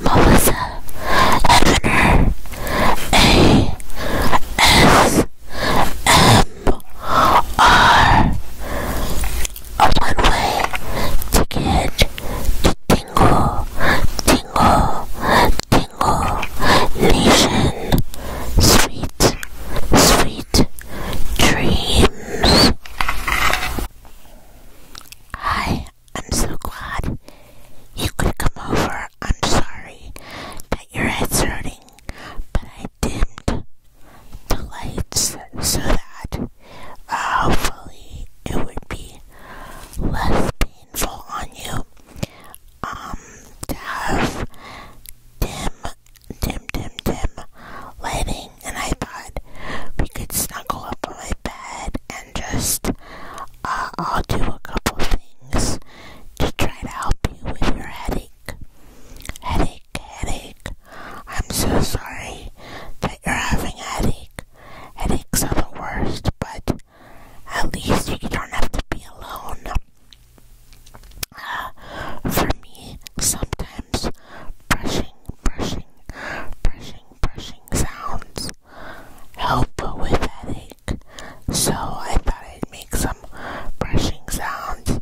Melissa Evaner A S M R A one-way ticket to Tingle Tingle Tingle Nation Sweet Sweet Dreams Hi Hi, I'm so glad you could come over. I'm sorry that your head's hurting, but I dimmed the lights so that uh, hopefully it would be less painful on you. Um, to have dim, dim, dim, dim lighting, and I thought we could snuggle up on my bed just uh, I'll do a couple things to try to help you with your headache. Headache, headache. I'm so sorry that you're having a headache. Headaches are the worst, but at least you don't have to be alone. Uh, for me, sometimes brushing, brushing, brushing brushing sounds help with headache. So I thought I'd make some brushing sounds.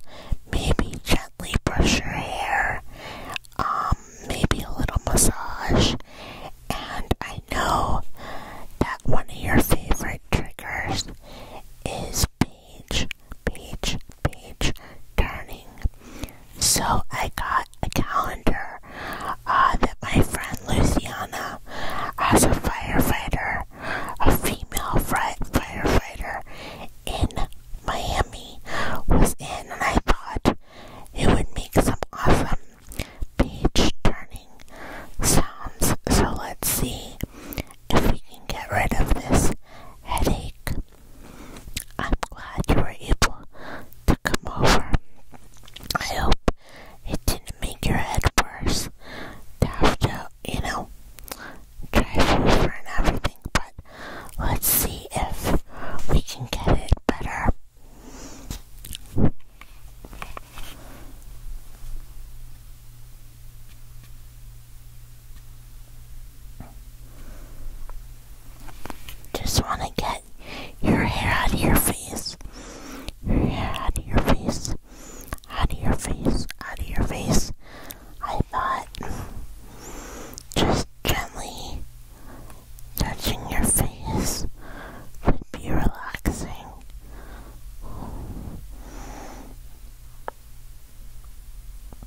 Maybe gently brush your hair. Um, maybe a little massage. And I know that one of your favorite triggers is beach, beach, beach, turning. So I got a calendar uh, that my friend Louisiana, as a firefighter, a female fire firefighter in Miami, was in, and I thought it would make some awesome page turning sounds. So let's see if we can get rid of this headache. I'm glad you were able to come over. I hope it didn't make your head worse to you know, drive and everything, but let's see if we can get it better. Just want to get your hair out of your face. Your hair out of your face. Out of your face. Out of your face. I thought just gently touching your face would be relaxing.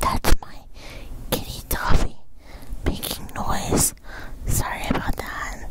That's my kitty Toffee making noise. Sorry about that.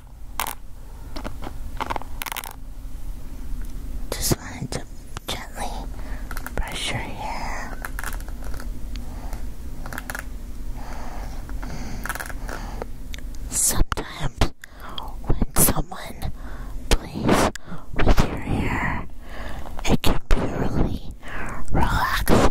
Just wanted to gently brush your hair. Sometimes, when someone plays with your hair, it can be really relaxing.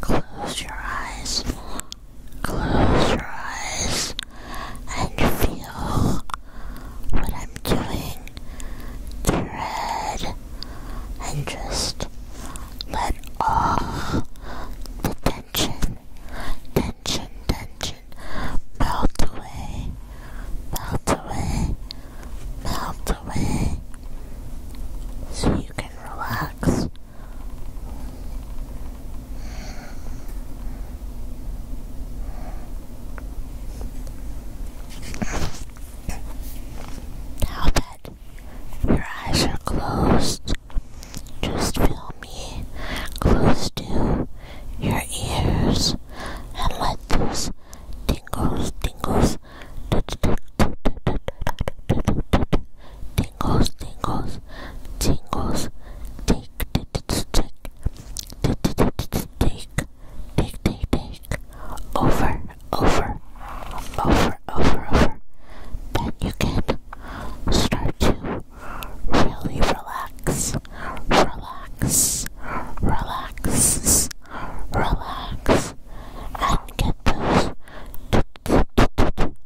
Close your eyes. Close your eyes and feel what I'm doing to your head and just let all the tension, tension, tension melt away melt away, melt away, so you can relax. Now that your eyes are closed, just feel me close to your ears and let those tingles, tingles, tingles, tingles, tingles, take, take, take, take, take, take, over, over, over, over, over. Then you can start to really relax relax, relax, relax, and get those tingles,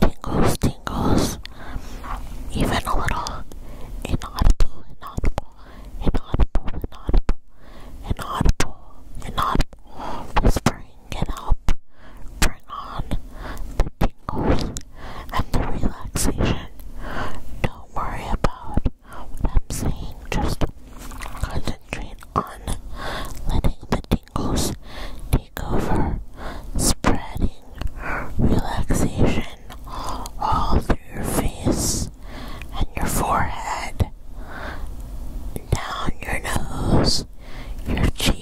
tingles, tingles, even a little inaudible, inaudible, inaudible, inaudible, inaudible, inaudible whispering can bring on the and the relaxation. Don't worry about what I'm saying, just concentrate on letting the tingles take over, spreading relaxation all through your face and your forehead, down your nose, your cheeks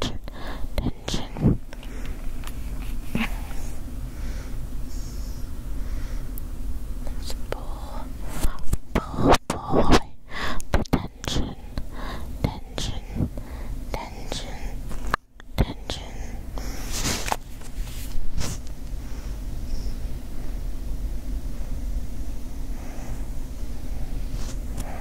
tension, tension. let pull, pull, pull away tension, tension, tension, tension.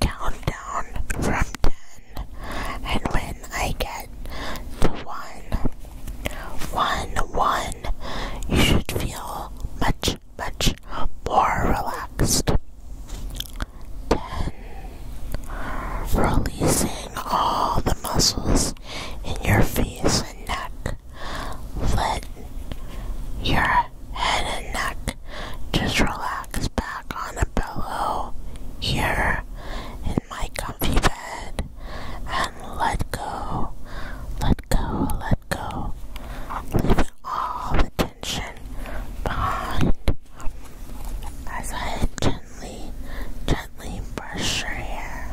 count down from ten, and when I get to one, one, one, you should feel much, much more relaxed. Ten, releasing all the muscles in your face and neck. Let your head and neck. Just relax back on a pillow here in my comfy bed and let go, let go, let go. Leaving all the tension behind as I gently, gently brush your hair.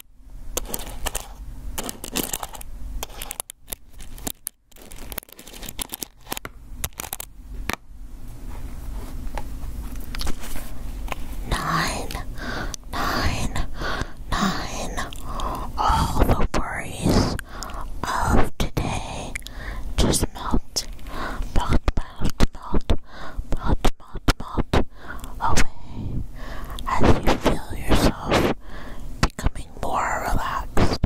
Nine, nine, nine. All the worries of today just melt, melt, melt, melt, melt, melt, melt away as you feel yourself becoming more relaxed,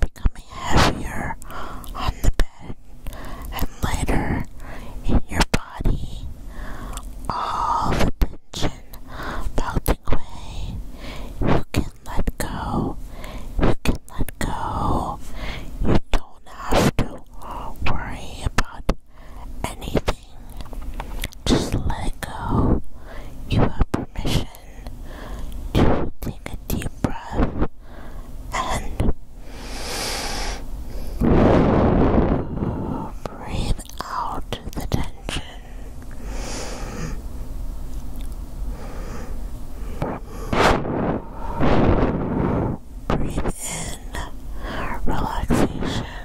becoming heavier on the bed, and later in your body. All the tension melting away. You can let go. You can let go. You don't have to worry about anything everything. Just let go. You have permission to take a deep breath and breathe out the tension. Breathe in relaxation.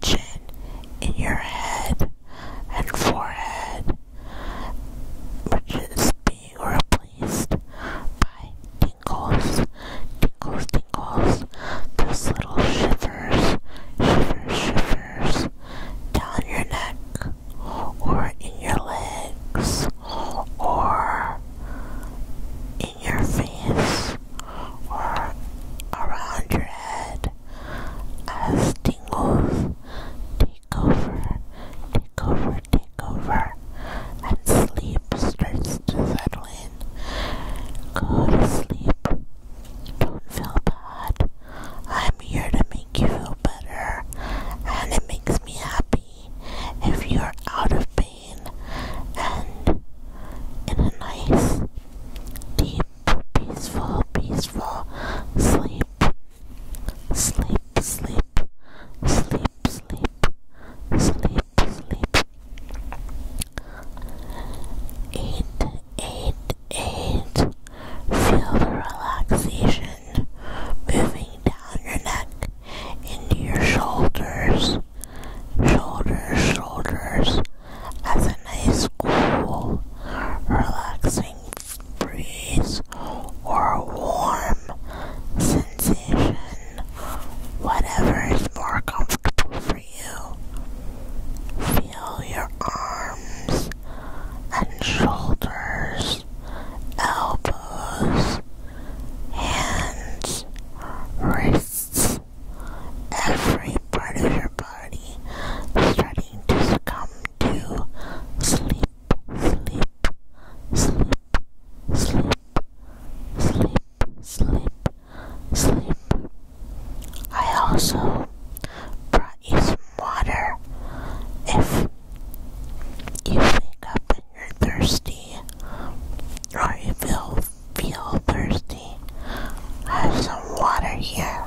tension in your head and forehead, which is being replaced by tingles, tingles, tingles, those little shivers, shivers, shivers down your neck or in your legs or in your face or around your head as tingles take over, take over, take over, and sleep starts to settle in. Go to sleep. Don't feel bad. I'm here to make you feel better, and it makes me happy if you're out of pain and in a nice, deep, peaceful, peaceful sleep. Sleep, sleep, sleep, sleep, sleep, sleep. Eight, eight, eight. Feel the relaxation moving down your neck into your shoulders shoulders, shoulders as a nice cool, relaxing breeze or a warm sensation, whatever is more comfortable for you. Feel your arms and shoulders, elbows, hands, wrists, every part of your body starting to succumb to sleep, sleep, sleep, sleep, sleep, sleep, sleep. I also brought you some water. If you wake up and you're thirsty, or you feel feel thirsty. I have some water here.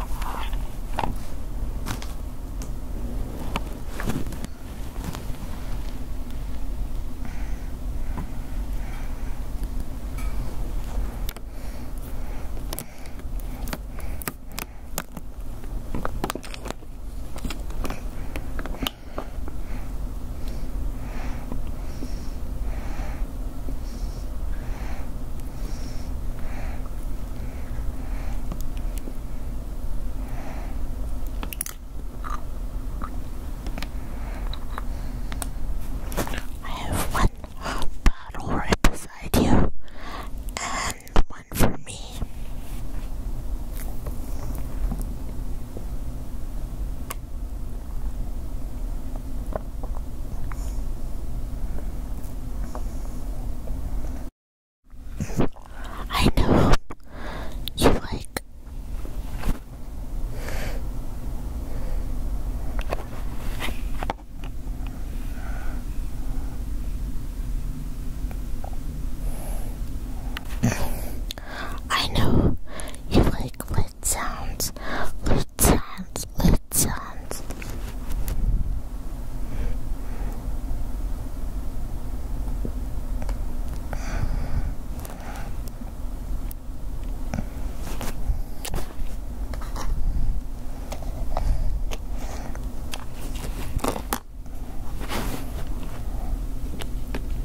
I have one bottle right beside you and one for me. I know you like I know you like lid sounds, lid sounds, lid sounds.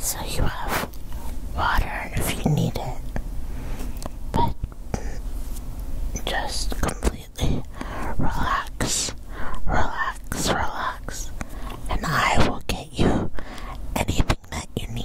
So you have water if you need it, but just complete relax, relax, relax, and I will get you anything that you need.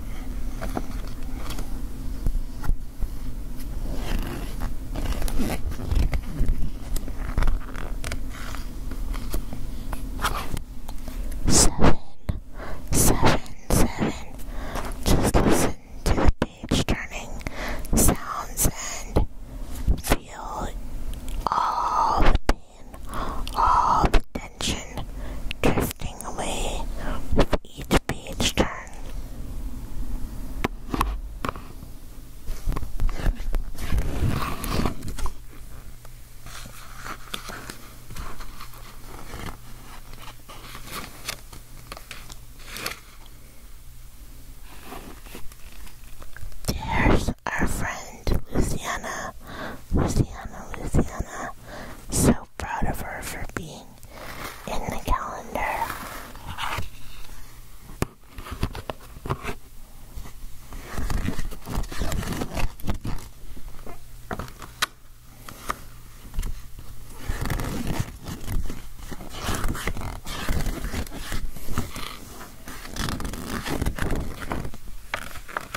Seven, seven, seven. Just listen to the page turning sounds and feel all the pain, all the drifting away with each page turn. There's our friend Luciana, Luciana, Luciana, so proud of her for being in the calendar.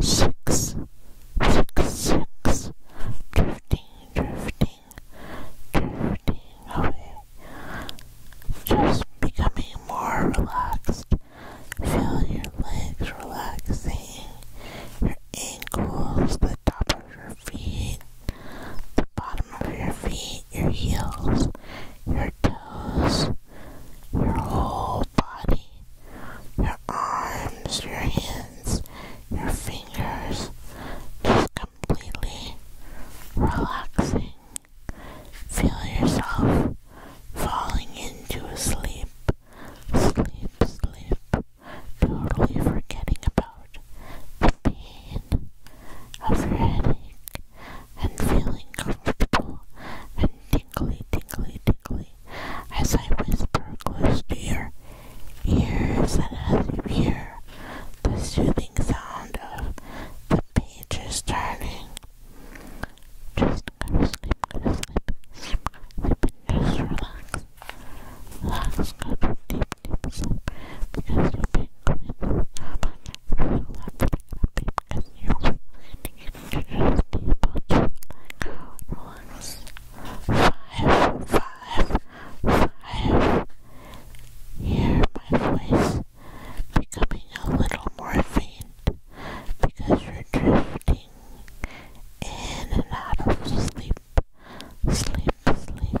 Six, six, six, thirteen, drifting, drifting away. Just becoming more relaxed. Feel your legs relaxing, your ankles, the top of your feet, the bottom of your feet, your heels, your toes, your whole body, arms, your hands, your fingers, just completely relaxing. Feel yourself falling into a sleep, sleep, sleep, totally forgetting about the pain of your headache and feeling comfortable and tingly, tingly, tingly as I whisper close to your ears and as you hear the soothing sound of the pages turning. Just go to sleep, go to sleep, sleep, sleep, and just relax. Relax, go to deep, deep sleep because you'll be going to relax, because you'll be to just be able to relax five, five, five. Hear my voice becoming a little more faint because you're drifting in and out of sleep, sleep, sleep, sleep.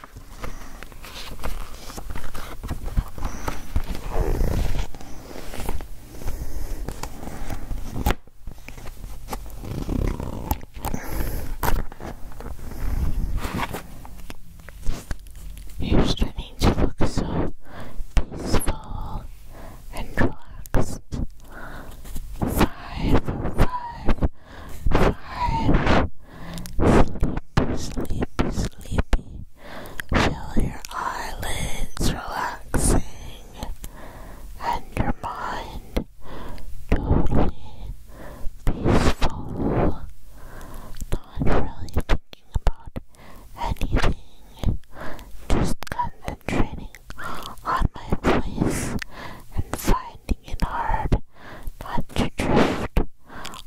You're trying to look so peaceful and relaxed. Five, five, five. Sleepy, sleepy, sleepy. Feel your eyelids relaxing and your mind totally peaceful. Not really thinking about anything, just concentrating on my voice and finding hard not to drift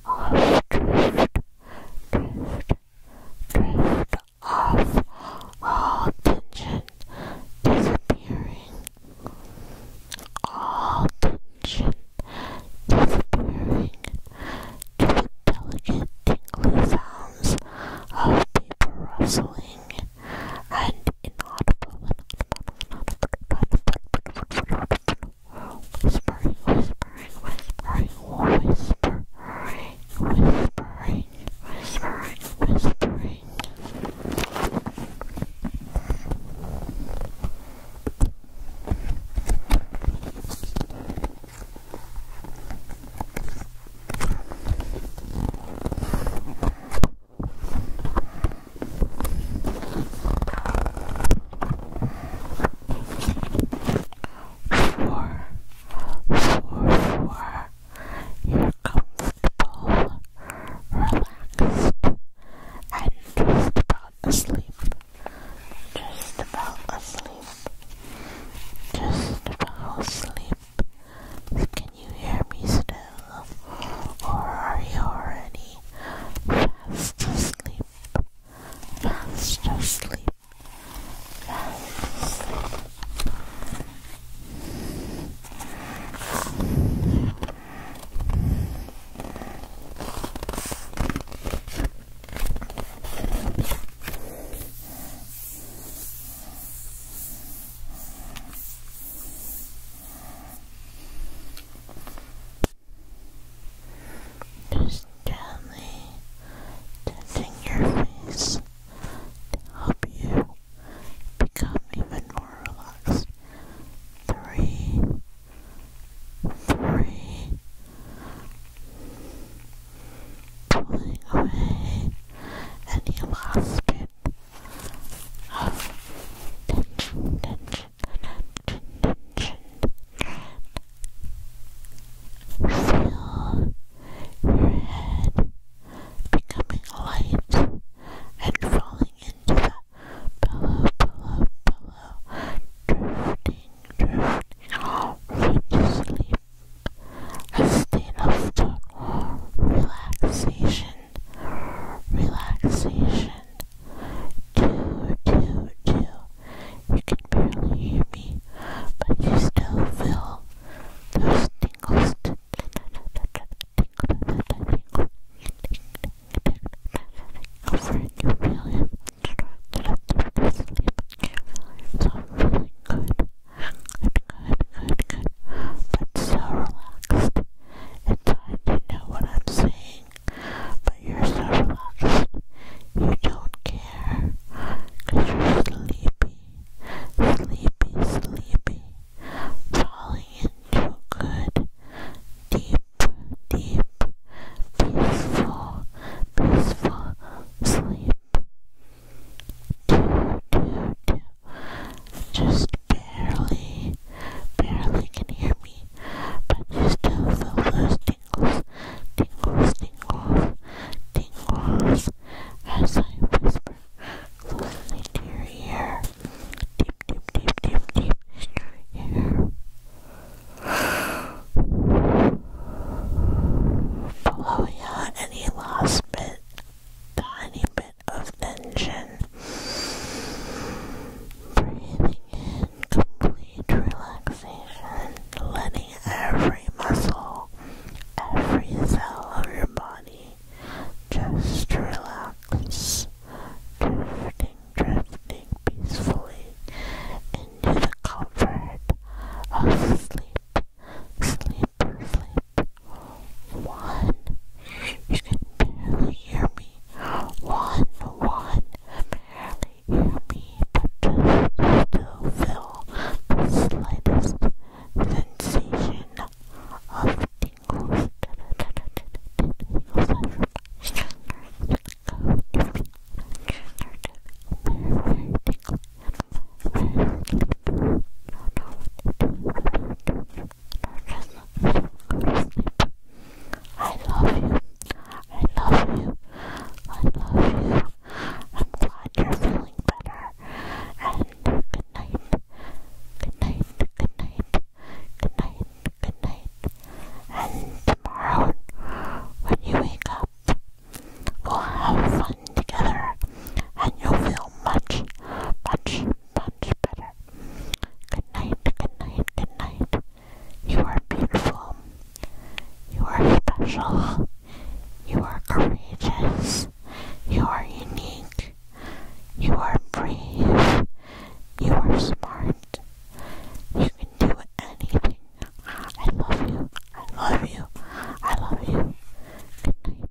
off, drift, drift, drift off, all tension disappearing, all tension disappearing to the delicate tingly sounds of paper rustling and inaudible, inaudible, whispering, whispering, whispering, whispering, whispering, whispering, whispering. Four, four, four. You're comfortable, relaxed, and just about asleep. Just about asleep. Just about asleep you hear me still? Or are you already Fast asleep. Fast asleep. Just gently touching your face to help you become even more relaxed. Three, three, pulling away any last bit of Feel your head becoming light and falling into the pillow, pillow, pillow, drifting, drifting to sleep. A state of relaxation relaxation. Two, two, two. You can barely hear me, but you still feel those tingles. Over and you really get up there to sleep. So I'm feeling good. Good, good, good, good. But so relaxed. It's hard to know what I'm saying, but you're so relaxed. You don't care, cause you're sleepy, sleepy, sleepy, falling into good, deep, deep, peaceful, peaceful sleep. Do, do, do. Just barely, barely can hear me, but you still feel those tingles, tingles, tingles, tingles, as I whisper closely to ear, deep, deep, deep, deep, deep, ear. Below, yeah, any last bit, tiny bit of tension. Breathing in complete relaxation, letting every muscle, every cell of your body just relax. Drifting, drifting peacefully into the comfort of sleep, sleep, flip, one. You can barely hear me. One, one. Barely hear me, but just still feel the slightest sensation of tingles. I love you. I love you. I love you. I'm glad you're feeling better. And good night. Good night. Good night. Good night. Good night. And tomorrow, when you wake up, we'll have fun together and you'll feel much, much much better. Good night, good night, good night. You are beautiful. You are special. You are courageous. You are unique. You are brave. You are smart. You can do anything. I love you. I love you. I love you. Good night.